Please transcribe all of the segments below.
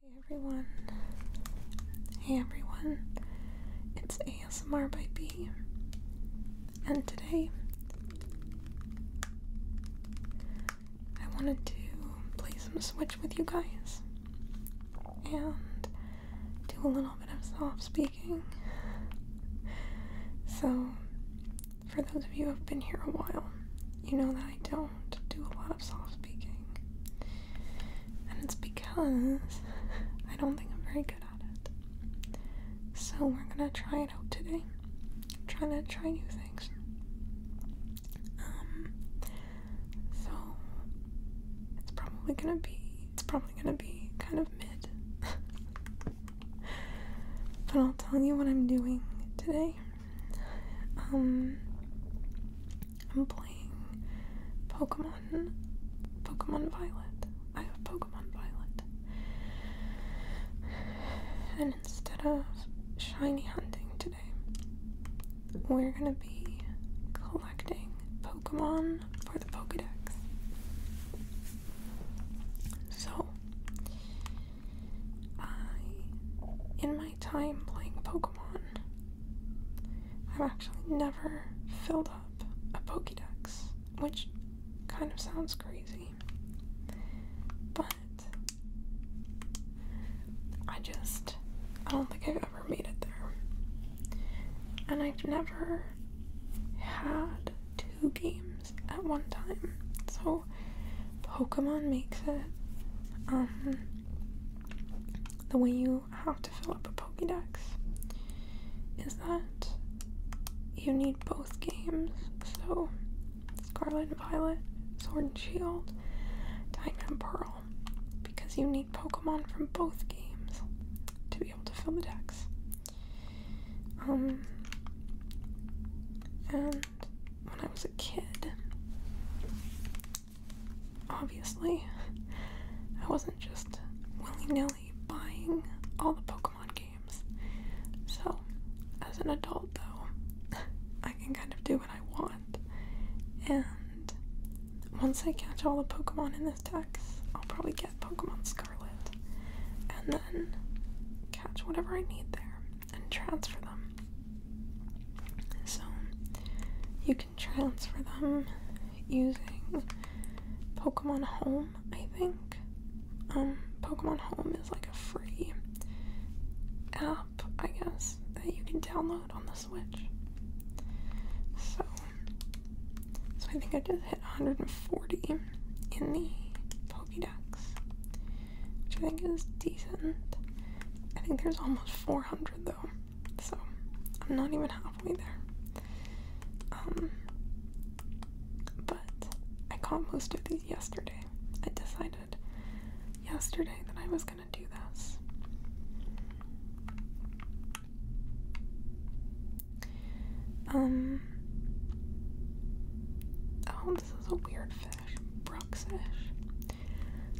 Hey everyone. Hey everyone. It's ASMR by B. And today I wanted to play some Switch with you guys and do a little bit of soft speaking. So, for those of you who have been here a while, you know that I don't do a lot of soft speaking. And it's because I don't think I'm very good at it. So we're gonna try it out today. trying to try new things. Um so it's probably gonna be it's probably gonna be kind of mid. but I'll tell you what I'm doing today. Um, I'm playing Pokemon, Pokemon Violet. I have Pokemon Violet. And instead of shiny hunting today, we're gonna be collecting Pokemon for the Pokedex. So, I, in my time playing Pokemon. I've actually never filled up a Pokedex, which kind of sounds crazy. But I just, I don't think I've ever made it there. And I've never had two games at one time. So Pokemon makes it um, the way you have to fill up a Pokédex is that you need both games. So, Scarlet and Violet, Sword and Shield, Diamond and Pearl, because you need Pokemon from both games to be able to fill the Dex. Um, and when I was a kid, obviously. I wasn't just willy nilly buying all the Pokemon games. So, as an adult, though, I can kind of do what I want. And once I catch all the Pokemon in this Dex, I'll probably get Pokemon Scarlet. And then catch whatever I need there and transfer them so you can transfer them using Pokemon Home, I think. Um, Pokemon Home is like a free app, I guess, that you can download on the Switch. So, so I think I just hit 140 in the Pokédex, which I think is decent. I think there's almost 400 though so I'm not even halfway there. Um, but I caught most of these yesterday. I decided yesterday that I was gonna do this. Um. Oh, this is a weird fish. Brooksfish.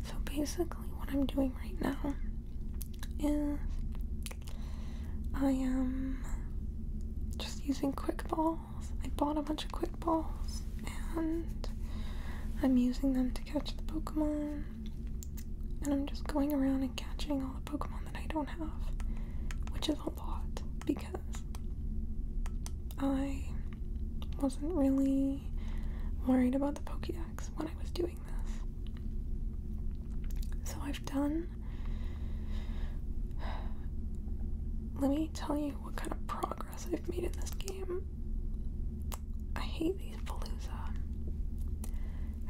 So basically, what I'm doing right now is I am just using quick balls. I bought a bunch of quick balls and I'm using them to catch the Pokemon. And I'm just going around and catching all the Pokemon that I don't have, which is a lot because I wasn't really worried about the Pokédex when I was doing this. So I've done. Let me tell you what kind of progress I've made in this game. I hate these Palooza.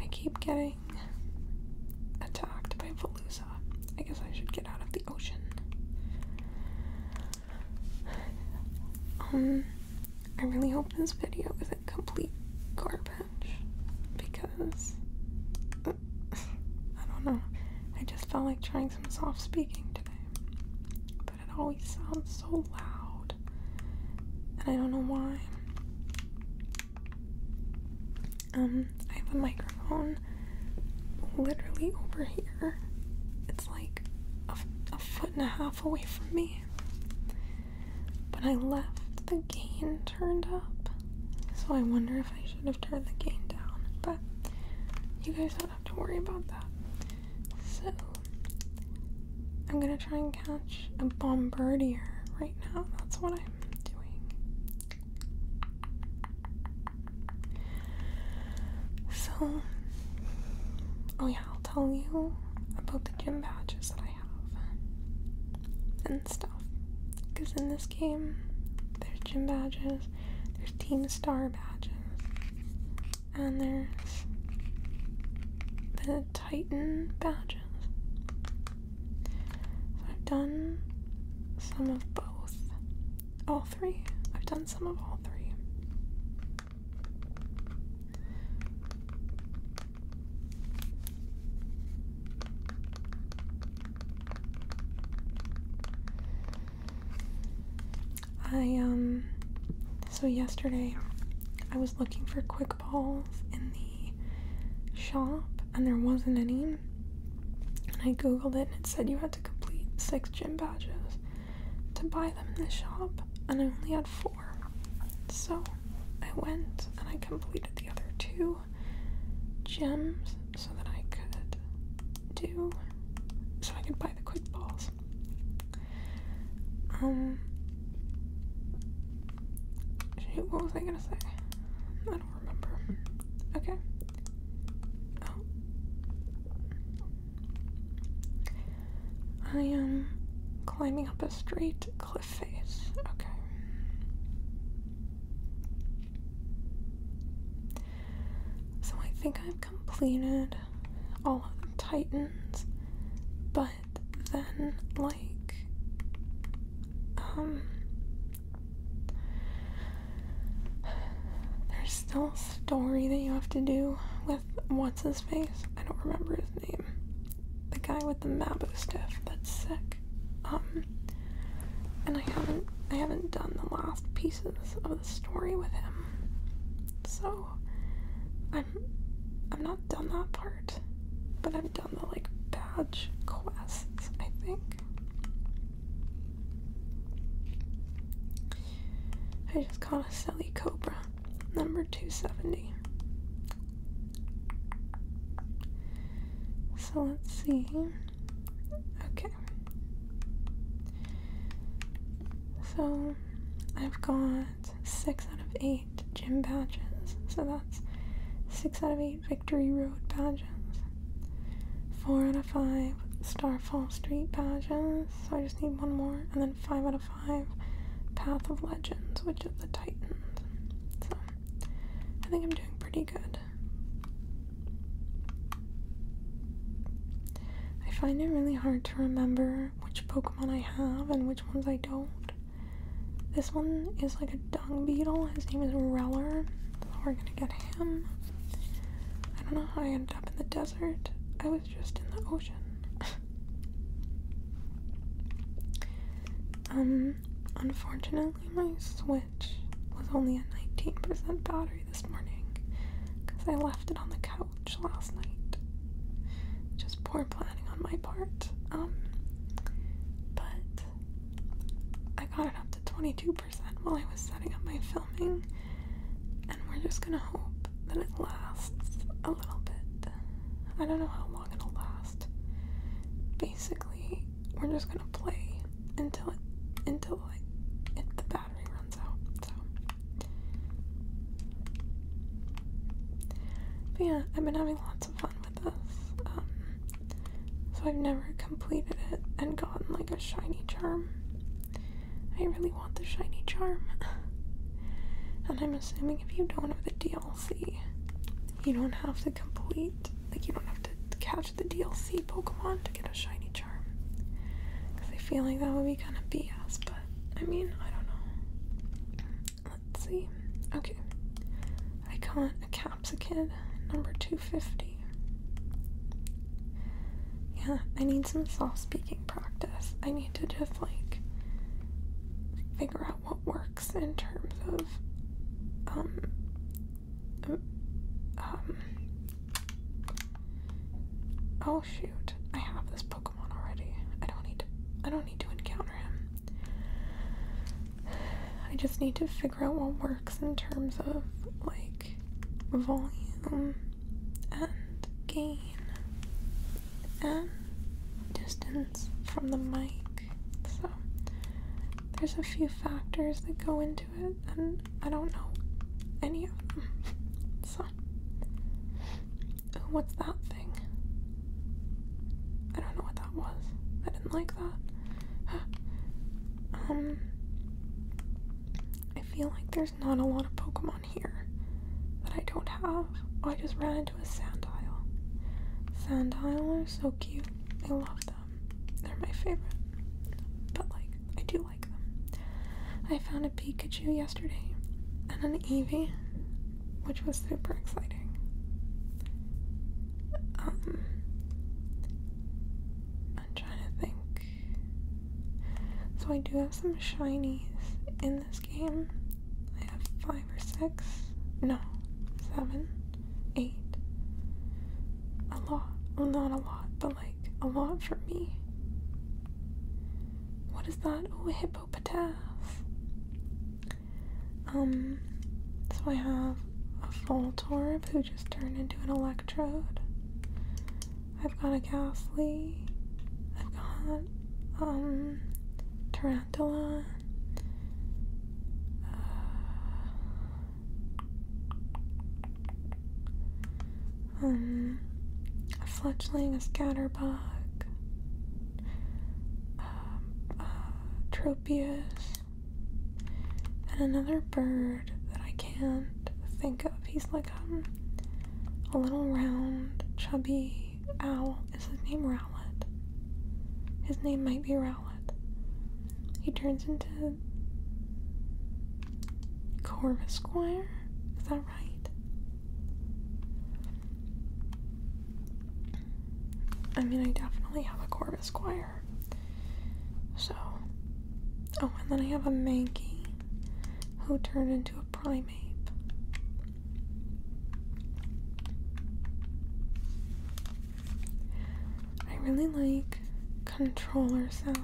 I keep getting attacked by Palooza. I guess I should get out of the ocean. Um, I really hope this video isn't complete garbage because uh, I don't know. I just felt like trying some soft speaking today, but it always sounds so loud, and I don't know why. Um, I have a microphone literally over here. It's like a, a a half away from me. But I left the gain turned up, so I wonder if I should have turned the gain down. But you guys don't have to worry about that. So I'm gonna try and catch a bombardier right now. That's what I'm doing. So, oh yeah, I'll tell you about the gym badges that I have and stuff. Because in this game, there's gym badges, there's team star badges, and there's the Titan badges. I've done some of both. All three. I've done some of all three. I, um, so yesterday I was looking for quick balls in the shop and there wasn't any. And I googled it and it said you had to complete six gym badges to buy them in the shop, and I only had four. So I went and I completed the other two gems so that I could do so I could buy the quick balls. Um what was I gonna say? I don't remember. Okay. Oh. I am climbing up a straight cliff face. Okay. So I think I've completed all of the Titans, but then, like, um, there's still a story that you have to do with what's his face? I don't remember his name. The guy with the Mabo stuff. That's sick. Um, and I haven't I haven't done the last pieces of the story with him, so I'm I'm not done that part, but I've done the like badge quests. I think. I just caught a silly cobra number 270. So let's see. Okay. So I've got 6 out of 8 gym badges. So that's 6 out of 8 Victory Road badges. 4 out of 5 Starfall Street badges. So I just need one more. And then 5 out five Path of Legends, which is the Titans. So I think I'm doing pretty good. I find it really hard to remember which Pokemon I have and which ones I don't. This one is like a dung beetle. His name is Reller, we're gonna get him. I don't know how I ended up in the I was just in the ocean. um, unfortunately, my Switch was only at 19% battery this morning because I left it on the couch last night. Just poor planning on my part. Um, but I got it up to 22% while I was setting up my filming and we're just gonna hope that it lasts a little bit. I don't know how long it'll last. Basically, we're just gonna play until it until like the battery runs out. So, yeah, I've been having lots of fun with this. Um, so I've never completed it and gotten like a shiny charm. I really want the shiny charm. and I'm assuming if you don't have the DLC, you don't have to complete, like, you don't have to catch the DLC Pokemon to get a shiny charm. Because I feel like that would be kind of BS, but I mean, I don't know. Let's see. Okay. I caught a Capsicid, number 250. Yeah, I need some soft speaking practice. I need to just like figure out what works in terms of um um oh shoot I have this Pokemon already I don't need I don't need to encounter him I just need to figure out what works in terms of like volume and gain and distance from the mic. So there's a few factors that go into it, and I don't know any of them. So, what's that thing? I don't know what that was. I didn't like that. um, I feel like there's not a lot of Pokemon here that I don't have. Oh, I just ran into a Sandile. Sandile are so cute. I love them. They're my favorite. But, like, I do like them. I found a Pikachu yesterday and an Eevee, which was super exciting. Um, I'm trying to think. So, I do have some shinies in this game. I have five or six. No, seven, eight. A lot. Well, not a lot, but like a lot for me. What is that? Oh, a hippopotamus. Um, so I have a Voltorb who just turned into an Electrode. I've got a Ghastly. I've got um Tarantula. Uh, um, a fledgling, a scatterbug, um, uh, uh, Tropius, and another bird that I can't think of. He's like um, a little round, chubby Owl. Is his name Rowlett? His name might be Rowlett. He turns into Corvus Squire? Is that right? I mean, I definitely have a Corvus Squire. So. Oh, and then I have a Manky who turned into primate. I really like controller sounds.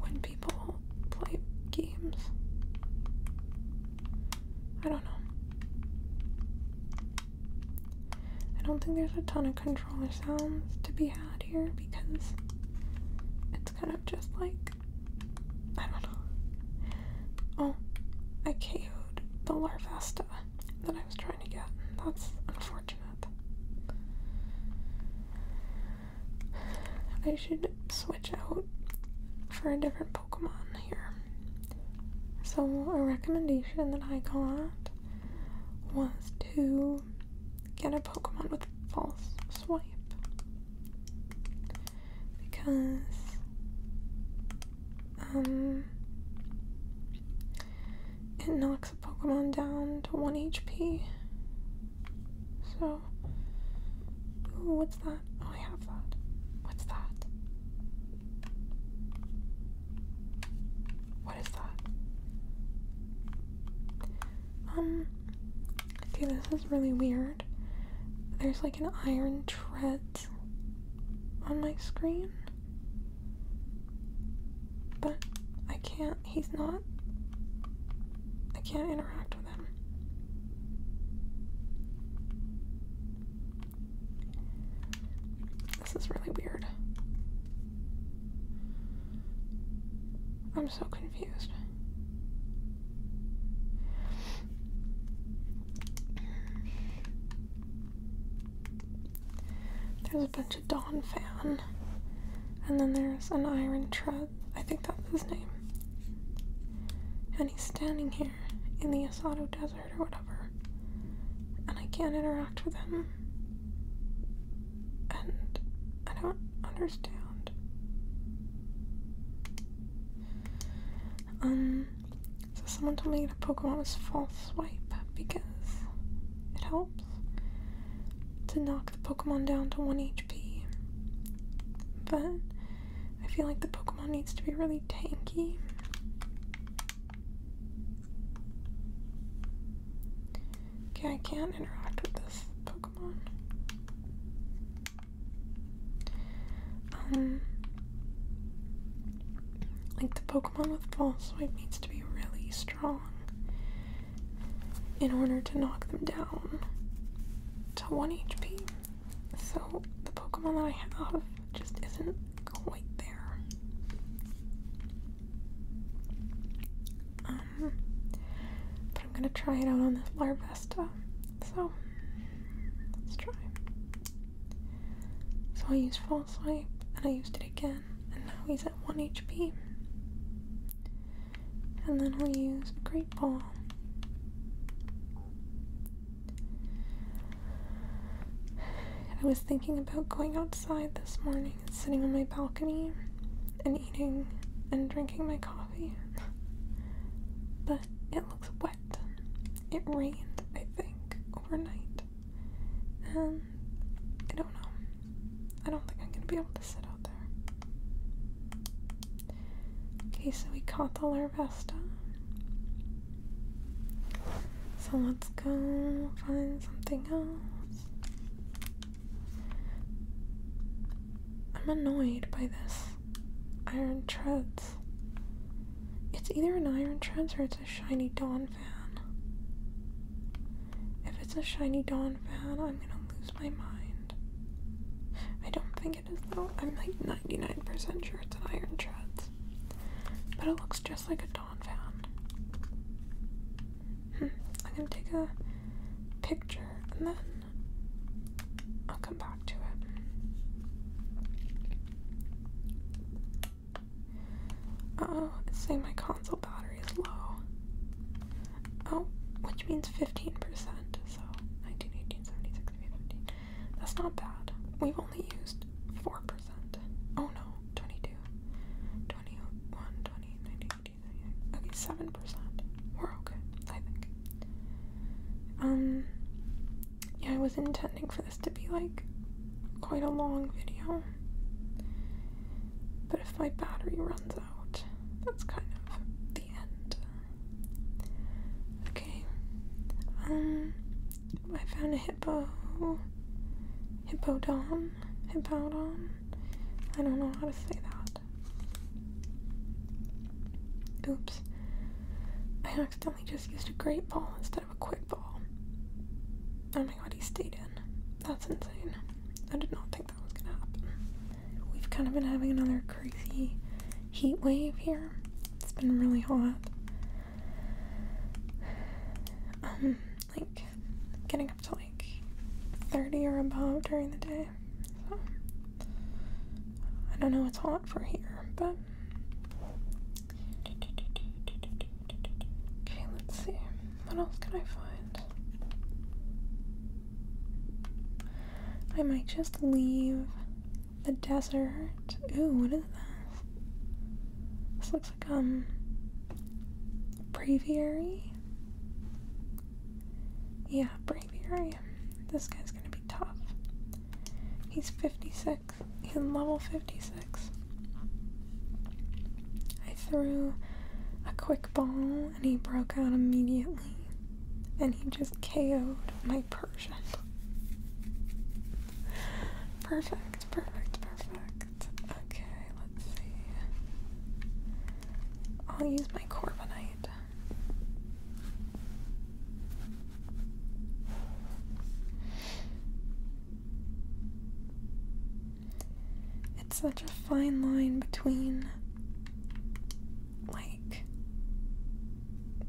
When people play games, I don't know. I don't think there's a ton of controller sounds to be had here because it's kind of just like I don't know. Oh, I KO'd the Larvesta that I was trying to get. That's unfortunate. I should switch out for a different Pokemon here. So, a recommendation that I got was to get a Pokemon with false swipe. Because um it knocks a Pokemon down to one HP. So ooh, what's that? Oh I have that. What's that? What is that? Um, see, this is really weird. There's like an iron tread on my screen. But I can't, he's not, I can't interact with him. This is really weird. I'm so confused. There's a bunch of Don Fan. And then there's an Iron Tread. I think that's his name. And he's standing here in the Asado Desert or whatever. And I can't interact with him and I don't understand. Um, so someone told me that Pokemon is false swipe because it helps to knock the Pokemon down to 1 HP. But I feel like the Pokemon needs to be really tanky. Okay, I can't interact with this Pokemon. Um, like the Pokemon with False Swipe needs to be really strong in order to knock them down to 1 HP. So the Pokemon that I have just isn't quite there. Um, but I'm gonna try it out on this Larvesta. So let's try. So I used false light and I used it again, and now he's at 1 HP. And then we'll use Great Ball. I was thinking about going outside this morning sitting on my balcony and eating and drinking my coffee. but it looks wet. It rained, I think, overnight. And I don't know. I don't think I'm gonna be able to sit out there. Okay, so we caught the Larvesta. So let's go find something else. I'm annoyed by this. Iron Treads. It's either an Iron Treads or it's a Shiny Dawn fan. If it's a Shiny Dawn fan, I'm gonna lose my mind. I don't think it is though. I'm like 99% sure it's an Iron Treads. But it looks just like a Dawn fan. I'm gonna take a picture and then I'll come back to it. oh, it's saying my console battery is low. Oh, which means 15%, so 19, 18, 15. That's not bad. We've only used 4%. Oh no, 22, Okay, seven percent. We're okay, I think. Um, yeah, I was intending for this to be like quite a long video, but if my battery runs out, that's kind of the end. Okay. Um, I found a hippo. Hippodon. Hippodon. I don't know how to say that. Oops. I accidentally just used a great ball instead of a quick ball. Oh my god, he stayed in. That's insane. I did not think that was gonna happen. We've kind of been having another crazy heat wave here. It's been really hot. Um, like getting up to like 30 or above during the day I don't know, what's hot for here, but. Okay, let's see. What else can I find? I might just leave the desert. Ooh, what is this? This looks like, um, a breviary. Yeah, Braviary. This guy's gonna be tough. He's 56. He's level 56. I threw a quick ball and he broke out immediately. And he just ko my Persian. perfect, perfect, perfect. Okay, let's see. I'll use my Corbinite. It's such a fine line between, like,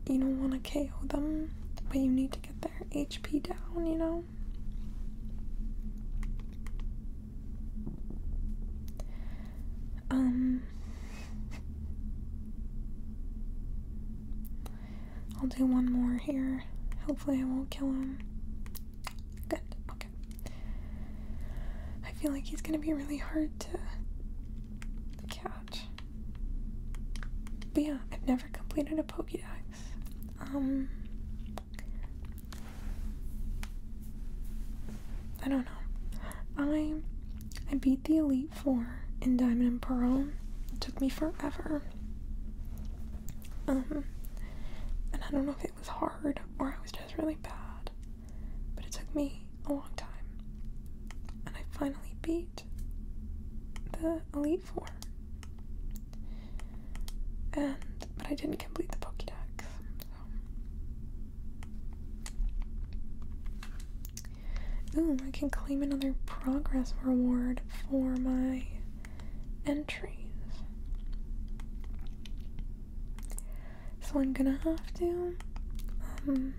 you don't want to KO them, but you need to get their HP down, you know? Um, I'll do one more here. Hopefully, I won't kill him. Good, okay. I feel like he's gonna be really hard to catch. But yeah, I've never completed a Pokedex. Um, I don't know. I I beat the Elite Four in Diamond and Pearl. It took me forever. Um, and I don't know if it was hard or I was just really bad. But it took me a long time. And I finally beat the Elite Four. And but I didn't complete the Pokédex, Oh, I can claim another progress reward for my entries. So I'm gonna have to um,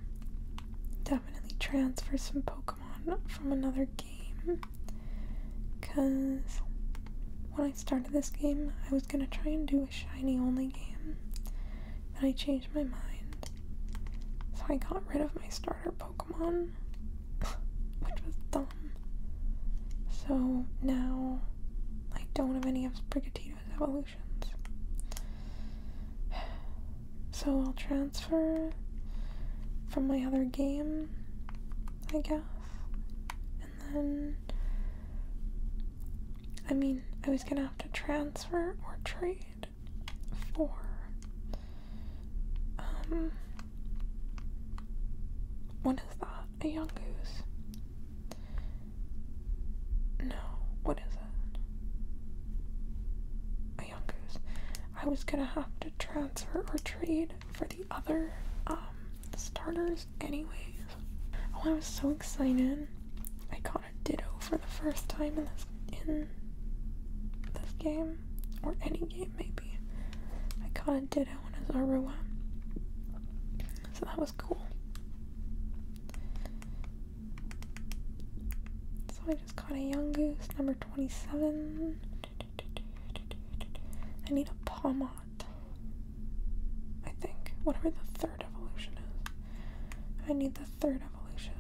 definitely transfer some Pokemon from another game because when I started this game, I was gonna try and do a shiny only game, but I changed my mind. So I got rid of my starter Pokemon, which was dumb. So now I don't have any of Brigatito's evolutions. So I'll transfer from my other game, I guess. And then I mean, I was gonna have to transfer or trade for um what is that? A young goose? No, what is it? A young goose. I was gonna have to transfer or trade for the other um starters anyway. Oh, I was so excited. I caught a ditto for the first time in this in this game. Or any game maybe. I caught a ditto in Azarua. So that was cool. So I just caught a young goose, number 27. I need a Palmon I think. Whatever the third evolution is. I need the third evolution.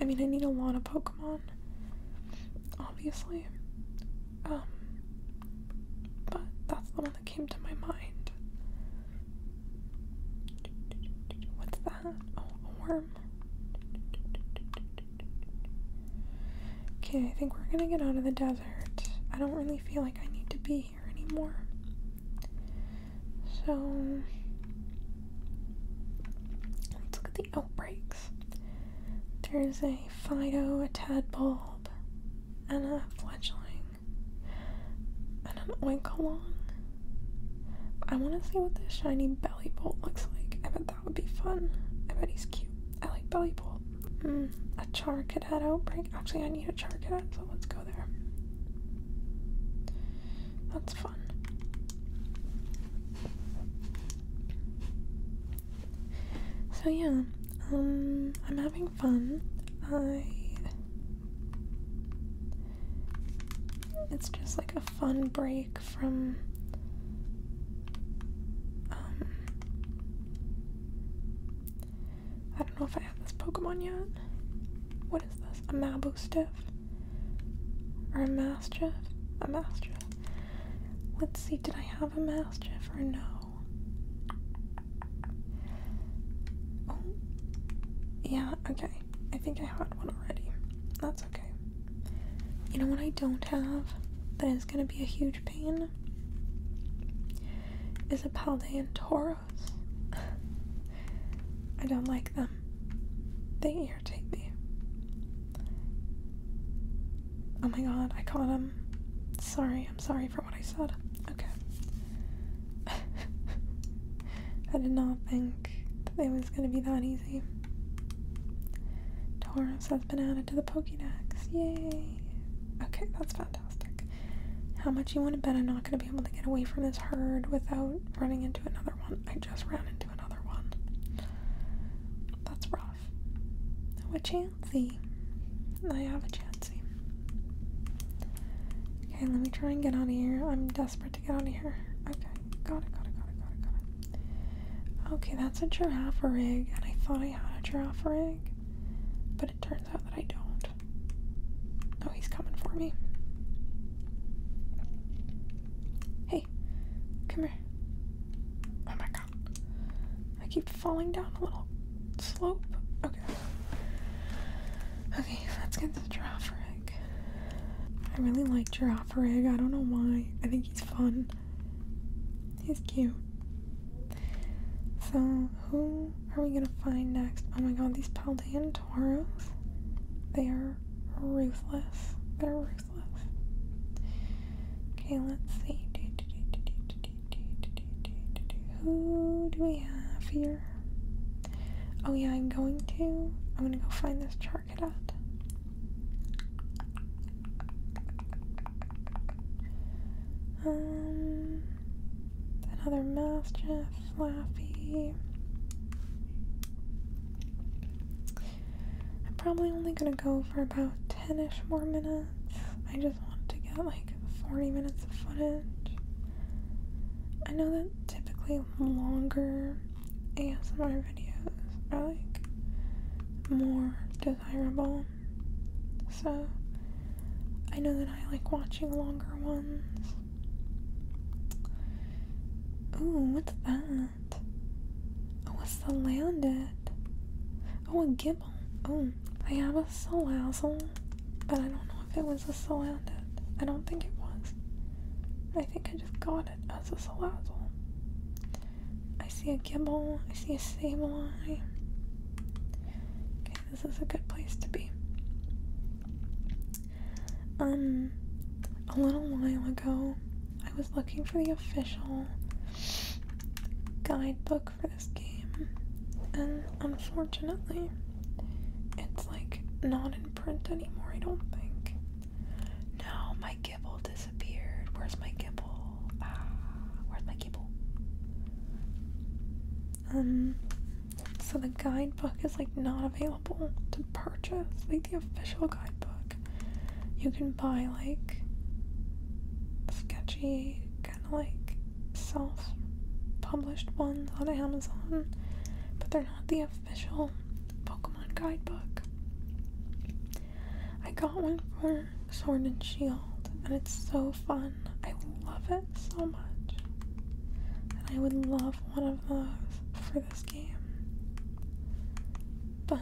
I mean, I need a lot of Pokemon. Obviously. Um. But that's the one that came to my mind. What's that? Oh, a worm. Okay, I think we're gonna get out of the desert. I don't really feel like I need to be anymore. So let's look at the outbreaks. There's a Fido, a tadpole, and a fledgling, and an oinkalong. I want to see what this shiny belly bolt looks like. I bet that would be fun. I bet he's cute. I like belly bolt. Mm, a chark kid had outbreak. Actually, I need a char kid, so let's go there. That's fun. So yeah, um, I'm having fun. I. It's just like a fun break from. Um, I don't know if I have this Pokemon yet. What is this? A Mabustiff? Or a Mastiff? A Mastiff. Let's see, did I have a Mastiff or no? Oh, yeah, okay. I think I had one already. That's okay. You know what I don't have that is going to be a huge pain? Is a Paldean Toro. I don't like them. They irritate me. Oh my god, I caught him. Sorry, I'm sorry for what I said. Okay. I did not think that it was gonna be that easy. Torus has been added to the Pokédex. Yay! Okay, that's fine. How much you want to bet I'm not going to be able to get away from this herd without running into another one? I just ran into another one. That's rough. Oh, a Chansey. I have a Chansey. Okay, let me try and get out of here. I'm desperate to get out of here. Okay, got it, got it, got it, got it, got it. Okay, that's a giraffe rig, and I thought I had a giraffe rig, but it turns out that I don't. Oh, he's coming for me. Hey, come here. Oh my god. I keep falling down a little slope. Okay. Okay, let's get to giraffe rig. I really like giraffe rig. I don't know why. I think he's fun. He's cute. So, who are we gonna find next? Oh my god, these Paldean Tauros. They are ruthless. They're ruthless. Okay, let's see. Who do we have here? Oh yeah, I'm going to. I'm gonna go find this Charcadet. Um, Another Mastiff, Flappy. I'm probably only gonna go for about 10 ish more minutes. I just want to get like 40 minutes of footage. I know that typically longer ASMR videos are like more desirable so I know that I like watching longer ones. Ooh, what's that? Oh, what's the land Oh, a gibble. Oh, I have a salazzle, but I don't know if it was a salandit. I don't think it was. I think I just got it as a salazzle. I see a gibble, I see a sableye. Okay, this is a good place to be. Um, a little while ago, I was looking for the official guidebook for this game, and unfortunately, it's like not in print anymore, I don't think. No, my gibble disappeared. Where's my gibble? Ah, where's my gibble? Um, so the guidebook is like not available to purchase, like the official guidebook. You can buy like sketchy, kind of like self published ones on Amazon, but they're not the official Pokemon guidebook. I got one for Sword and Shield, and it's so fun I love it so much. And I would love one of those for this game. But,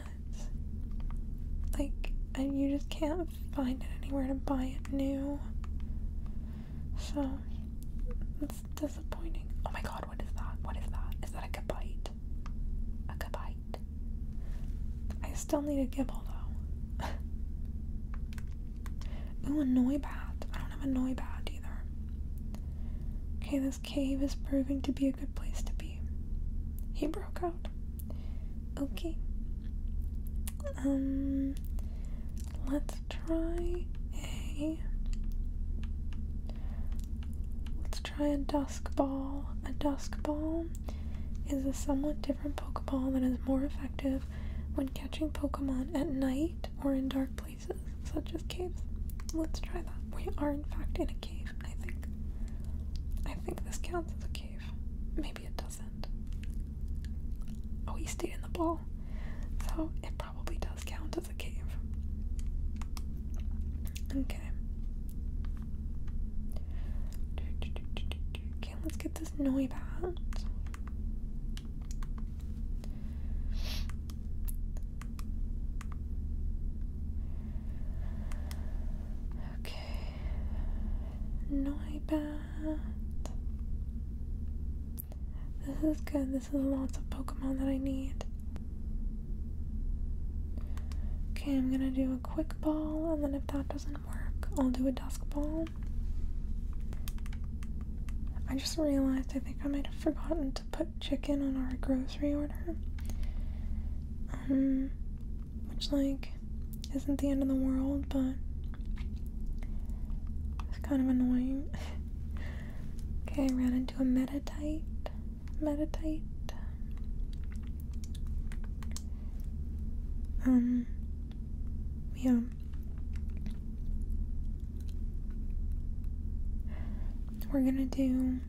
like, and you just can't find it anywhere to buy it new. So, it's disappointing. Oh my god, what is that? What is that? Is that a kabite? A kabite? I still need a gibble though. Ooh, a Noibat. I don't have a Noibat either. Okay, this cave is proving to be a good place to be. He broke out. Okay. Um, let's try a. Let's try a dusk ball. A dusk ball is a somewhat different Pokeball that is more effective when catching Pokemon at night or in dark places, such as caves. Let's try that. We are in fact in a cave, I think. I think this counts as a cave. Maybe it doesn't. Oh, he stayed in the ball. So it probably does count as a cave. Okay let's get this Noibat. Okay, Noibat. This is good. This is lots of Pokemon that I need. Okay, I'm gonna do a quick ball, and then if that doesn't work. I'll do a dusk ball. I just realized I think I might have forgotten to put chicken on our grocery order. Um, which, like, isn't the end of the world, but it's kind of annoying. okay, ran into a metatite. Metatite. Um, yeah. We're gonna do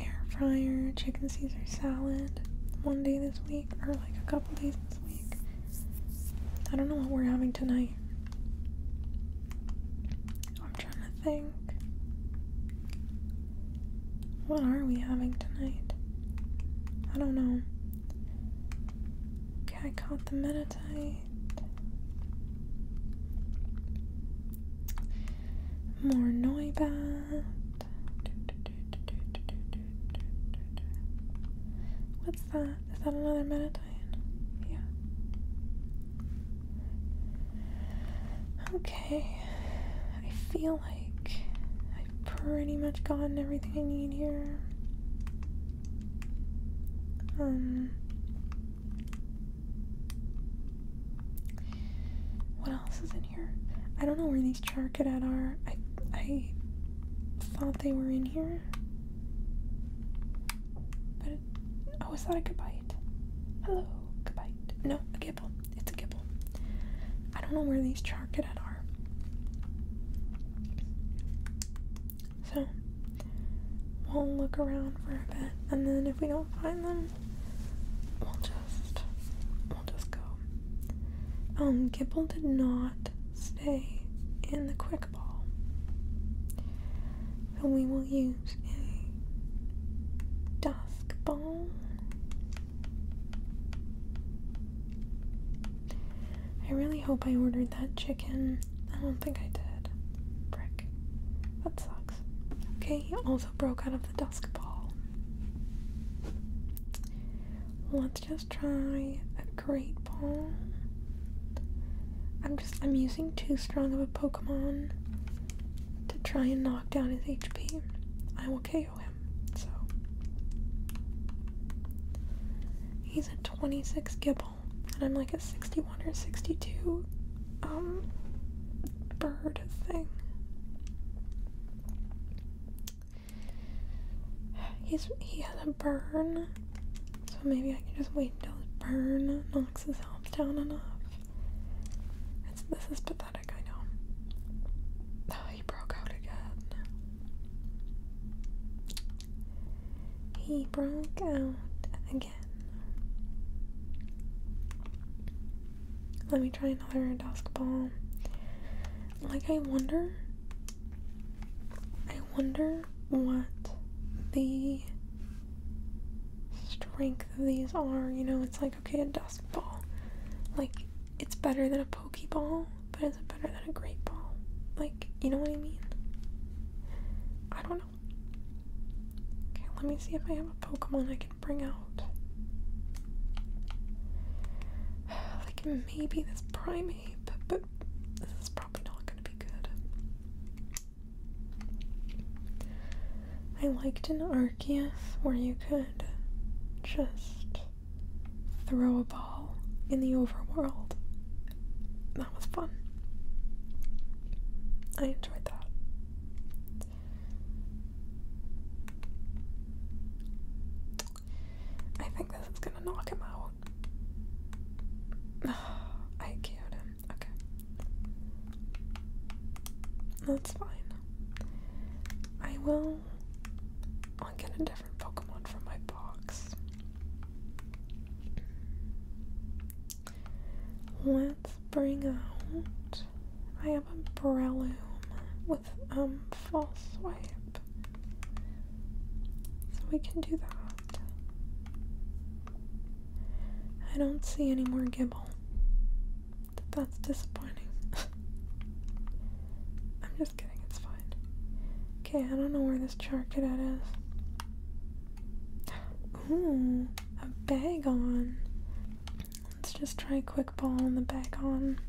air fryer chicken Caesar salad one day this week, or like a couple days this week. I don't know what we're having tonight. I'm trying to think. What are we having tonight? I don't know. Okay, I caught the Meditite. More Noibat. What's that? Is that another Meditite? Yeah. Okay. I feel like I've pretty much gotten everything I need here. Um. What else is in here? I don't know where these charcadet are. I I thought they were in here. But it, oh, is that a gabite? Hello, gabite. No, a gibble. It's a gibble. I don't know where these are. So we'll look around for a bit and then if we don't find them we'll just we'll just go. Um Gibble did not stay in the quick ball. So we will use a dusk ball. I really hope I ordered that chicken. I don't think I did. Brick. That sucks. Okay, he also broke out of the dusk ball. Let's just try a great ball. I'm just I'm using too strong of a Pokemon to try and knock down his HP. I will KO him. So he's a 26 Gibble, and I'm like a 61 or 62 um bird thing. He's he has a burn, so maybe I can just wait until his burn knocks his health down enough. this is pathetic, I know he broke out again. He broke out again. Let me try another dusk ball. Like, I wonder. I wonder what the strength of these are. You know, it's like, okay, a dusk ball. Like, it's better than a Pokeball, but is it better than a Great Ball? Like, you know what I mean? I don't know. Okay, let me see if I have a Pokemon I can bring out. Like, maybe this Primeape, but this is probably not gonna be good. I liked an Arceus where you could just throw a ball in the overworld. That was fun. I enjoyed that. I think this is gonna knock him out. I killed him. Okay. That's fine. I will. I'll get a different. Pokemon from my box. Let's bring out. I have a Breloom with um Fall swipe. So we can do that. I don't see any more Gibble. That's disappointing. Okay, I don't know where this charcuterie is. Ooh, a bag on. Let's just try a quick ball on the bag on.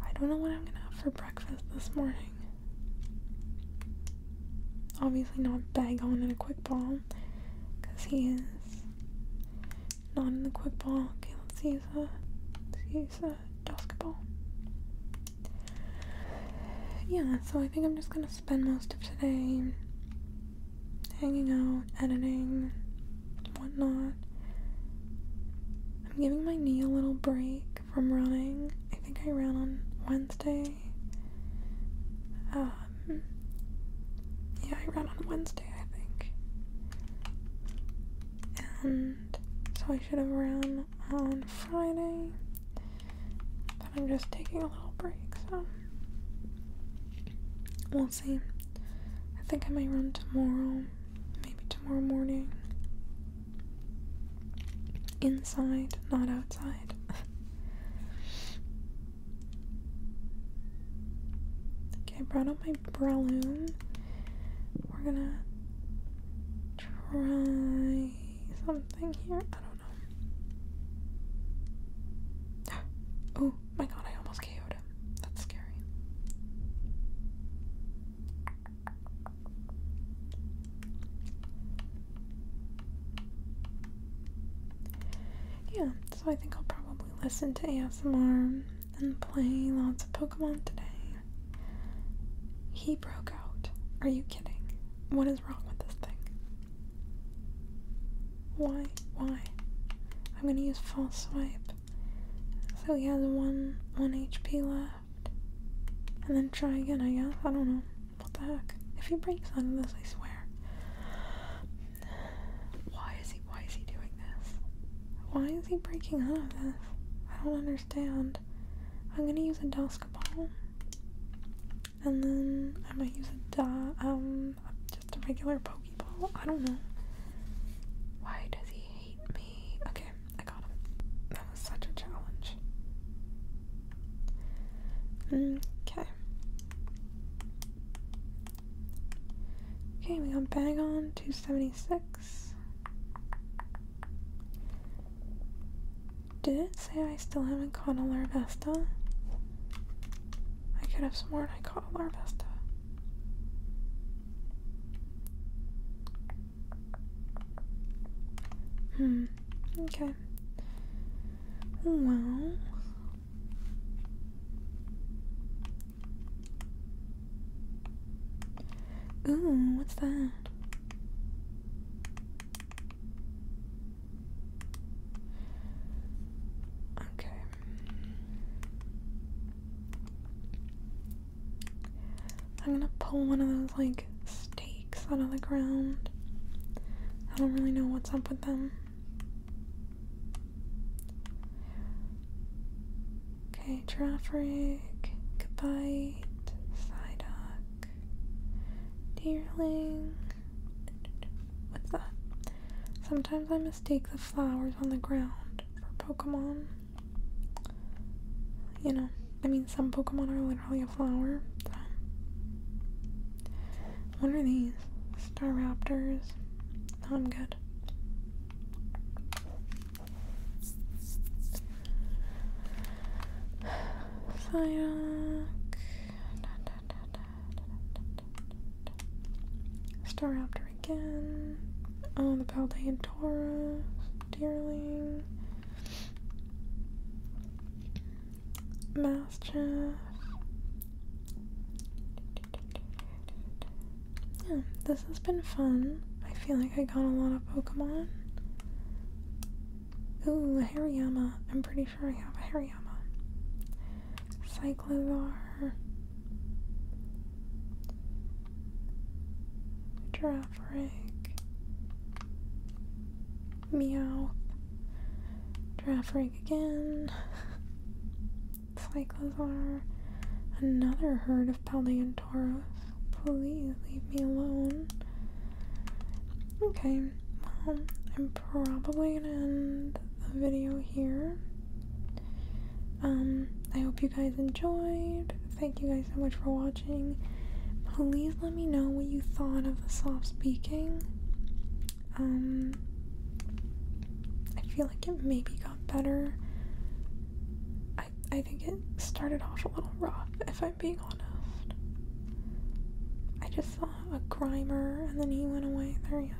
I don't know what I'm gonna have for breakfast this morning. Obviously not bag on and a quick ball, because he is not in the quick ball. Okay, let's use a let's use basketball. Yeah, so I think I'm just gonna spend most of today hanging out, editing, whatnot. I'm giving my knee a little break from running. I think I ran on Wednesday. Um, yeah, I ran on Wednesday. I think. And so I should have run on Friday, but I'm just taking a little break, so we'll see. I think I may run tomorrow, maybe tomorrow morning. Inside, not outside. okay, brought up my Breloom. We're gonna try something here. I don't know. oh my god, I almost ko That's scary. Yeah, so I think I'll probably listen to ASMR been playing lots of Pokemon today. He broke out. Are you kidding? What is wrong with this thing? Why? Why? I'm gonna use false swipe. So he has one one HP left. And then try again, I guess. I don't know. What the heck? If he breaks out of this, I swear. Why is he why is he doing this? Why is he breaking out of this? I don't understand. I'm gonna use a Duscaball. And then I might use a um just a regular Pokeball. I don't know. Why does he hate me? Okay, I got him. That was such a challenge. Mm, okay. Okay, we got Bagon 276. Did it say I still haven't caught a Larvesta? I could have sworn I caught a Larvesta. Hmm, okay. Well, Ooh, what's that? Okay. I'm gonna pull one of those like stakes out of the ground. I don't really know what's up with them. Okay, Girafferig, Gabite, Psyduck, dearling. What's that? Sometimes I mistake the flowers on the ground for Pokemon. You know, I mean, some Pokemon are literally a flower. What are these? Star Raptors. Oh, I'm good. Fire, Staraptor again. Oh, the Paldean Taurus. Deerling. Mastiff. Yeah, this has been fun. I feel like I got a lot of Pokemon. Ooh, a Hariyama. I'm pretty sure I have a Hariyama. Cyclozar. Giraffrig. Meow. Giraffrig again. cycles another herd of Paleontauros. Please leave me alone. Okay, well, I'm probably gonna end the video here. Um, I hope you guys enjoyed. Thank you guys so much for watching. Please let me know what you thought of the soft speaking. Um, I feel like it maybe got better. I I think it started off a little rough, if I'm being honest. I just saw a grimer and then he went away. There he go.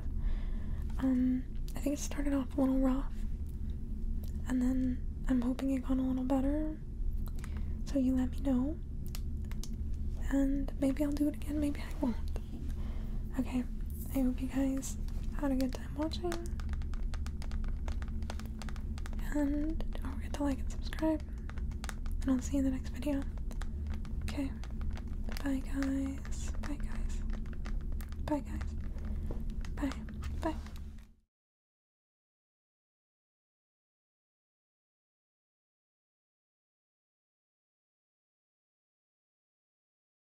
Um, I think it started off a little rough. And then I'm hoping it got a little better. So you let me know. And maybe I'll do it again, maybe I won't. Okay, I hope you guys had a good time watching. And don't forget to like and subscribe. And I'll see you in the next video. Okay. Bye guys. Bye guys. Bye guys. Bye. Bye.